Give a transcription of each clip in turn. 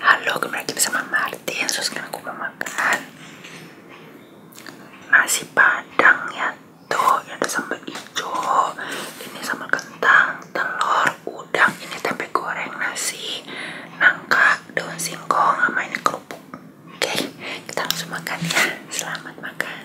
Halo, kembali lagi bersama Martin So, sekarang aku mau makan Nasi padang ya Tuh, ada sambal hijau Ini sambal kentang Telur, udang, ini tempe goreng Nasi, nangka Daun singkong, sama ini kerupuk Oke, kita langsung makan ya Selamat makan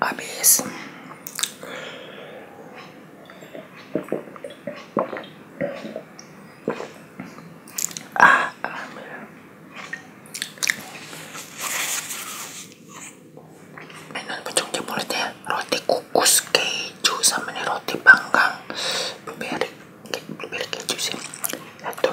abis ah ambil mainan pucuk di mulutnya roti kukus keju sama nih roti panggang blueberry blueberry keju sih satu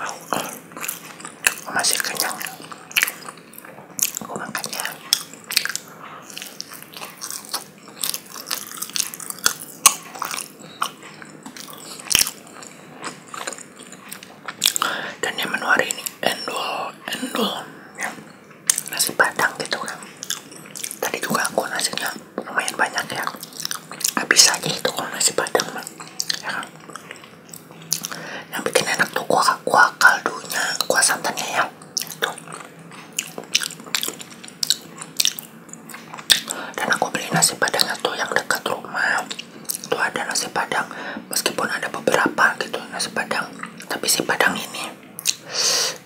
Eh, masih kenyang aku makannya dan yang menu hari ini endul endul ya nasi padang gitu kan tadi juga aku nasinya lumayan banyak ya habis aja itu kalau nasi padang mah ya kan? yang bikin enak tuh kuah kuah kaldunya kuah santannya ya tuh dan aku beli nasi padangnya tuh yang dekat rumah tuh ada nasi padang meskipun ada beberapa gitu nasi padang tapi si padang ini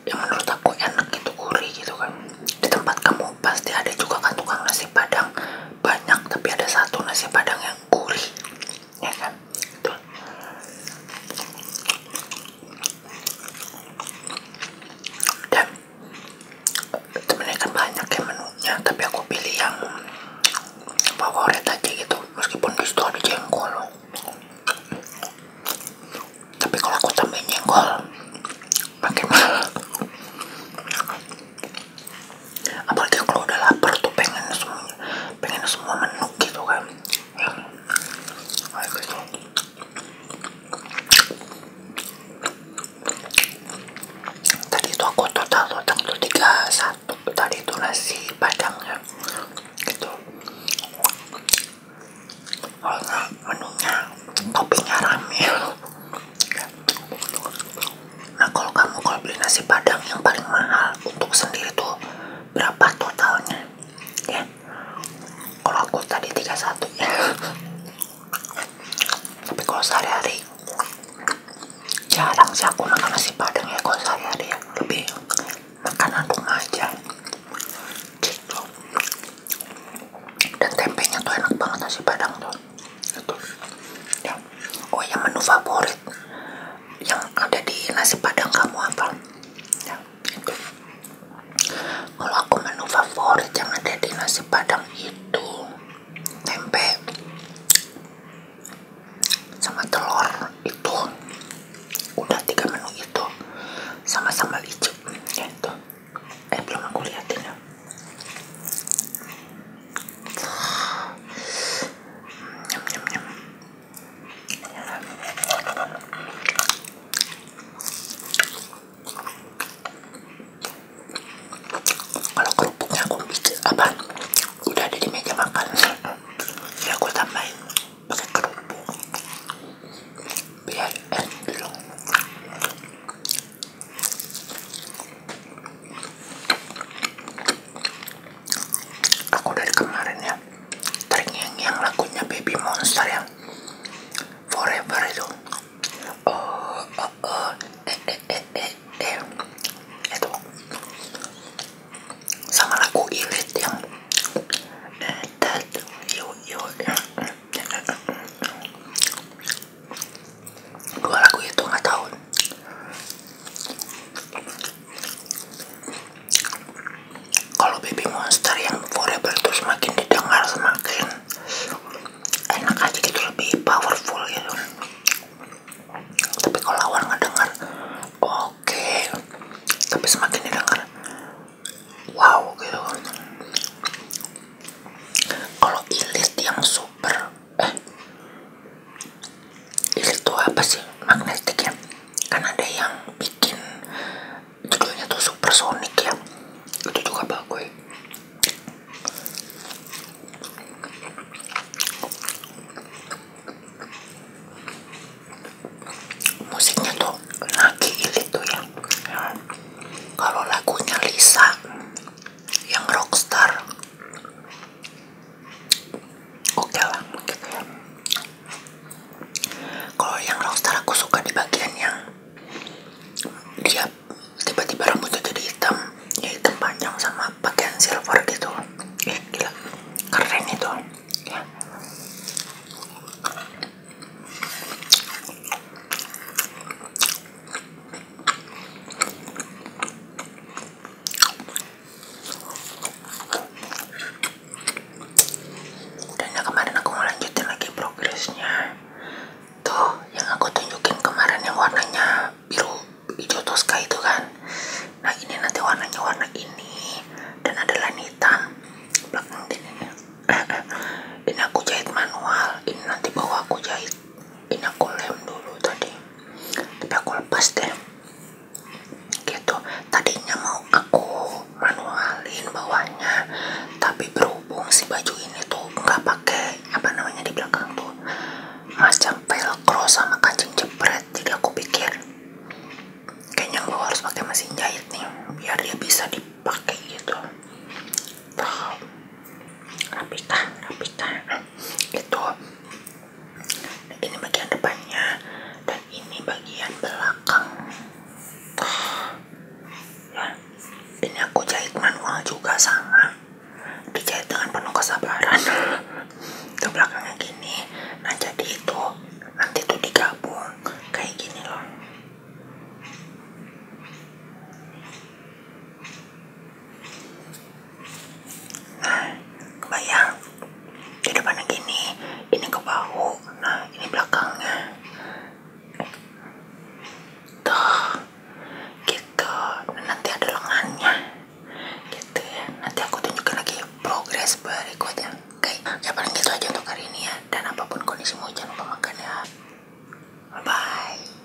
yang menurut aku enak gitu gurih gitu kan di tempat kamu pasti ada juga kan tukang nasi padang banyak tapi ada satu nasi padang yang gurih ya kan Tuh. dan temen kan banyak ya menunya tapi aku pilih yang favorit aja gitu meskipun di situ ada jengkol tapi kalau aku tambahin jengkol makin mahal apalagi kan kalau udah lapar tuh pengen semuanya pengen semua menu gitu kan ya tadi itu aku total total tuh tiga satu tadi itu nasi padangnya gitu kalau menunya kopinya ramil Nah kalau kamu kalau beli nasi padang yang paling mahal untuk sendiri tuh berapa totalnya? Ya, kalau aku tadi tiga satu Tapi kalau sehari-hari jarang sih aku makan nasi padang ya kalau sehari-hari ya lebih makanan rumah aja. Gitu dan tempe nya tuh enak banget nasi padang tuh itu ya oh yang menu favorit yang ada di nasi padang kamu apa ya itu kalau aku menu favorit yang ada di nasi padang itu tempe sama telur itu udah tiga menu itu sama sama hijau gitu eh belum aku liatin ya nyam nyam nyam iya kalau kerupuknya aku bikin apa udah ada di meja makan ya aku tambahin pakai kerupuk biar endong aku dari kemarin ya teringat yang lagunya Baby Monster yang Forever itu oh, oh, oh eh eh eh eh eh itu sama lagu Ilit yang eh, that you you dua lagu itu nggak tahu kalau baby monster yang forever itu semakin didengar semakin enak aja gitu lebih powerful gitu tapi kalau awal nggak dengar oke tapi semakin didengar wow gitu kalau ilis yang super eh itu apa sih magnetik ya kan ada yang bikin judulnya tuh supersonic ya itu juga bagus musiknya tuh lagi itu ya. kalau lagunya Lisa yang rockstar oke lah gitu ya kalau yang rockstar aku suka di bagian yang dia tiba-tiba rambutnya jadi hitam jadi ya hitam panjang sama bagian silver gitu ya gila keren itu ya dan ya kemarin aku mau lanjutin lagi progresnya tuh yang aku tunjukin kemarin yang warnanya biru hijau toska itu kan nah ini nanti warnanya warna ini dan ada lain hitam ini ini aku jahit manual ini nanti bawa aku jahit ini aku lem dulu tadi tapi aku lepas deh gitu tadinya mau aku manualin bawahnya tapi berhubung si baju ini tuh nggak pakai apa namanya di belakang tuh macam velcro sama kancing jepret jadi aku pikir kayaknya gue harus pakai mesin jahit nih biar dia bisa dipakai gitu tuh rapikan rapikan itu ini bagian depannya dan ini bagian belakang tuh. ya ini aku jahit manual juga sama dijahit dengan penuh kesabaran ke belakangnya gini nah jadi itu nanti tuh digabung kayak gini loh nah kebayang di depannya gini ini ke bahu nah ini belakangnya tuh gitu nanti ada lengannya gitu ya nanti aku tunjukkan lagi progres berikutnya oke okay. ya paling gitu aja untuk hari ini ya dan apapun kondisi mau jangan makan ya -bye.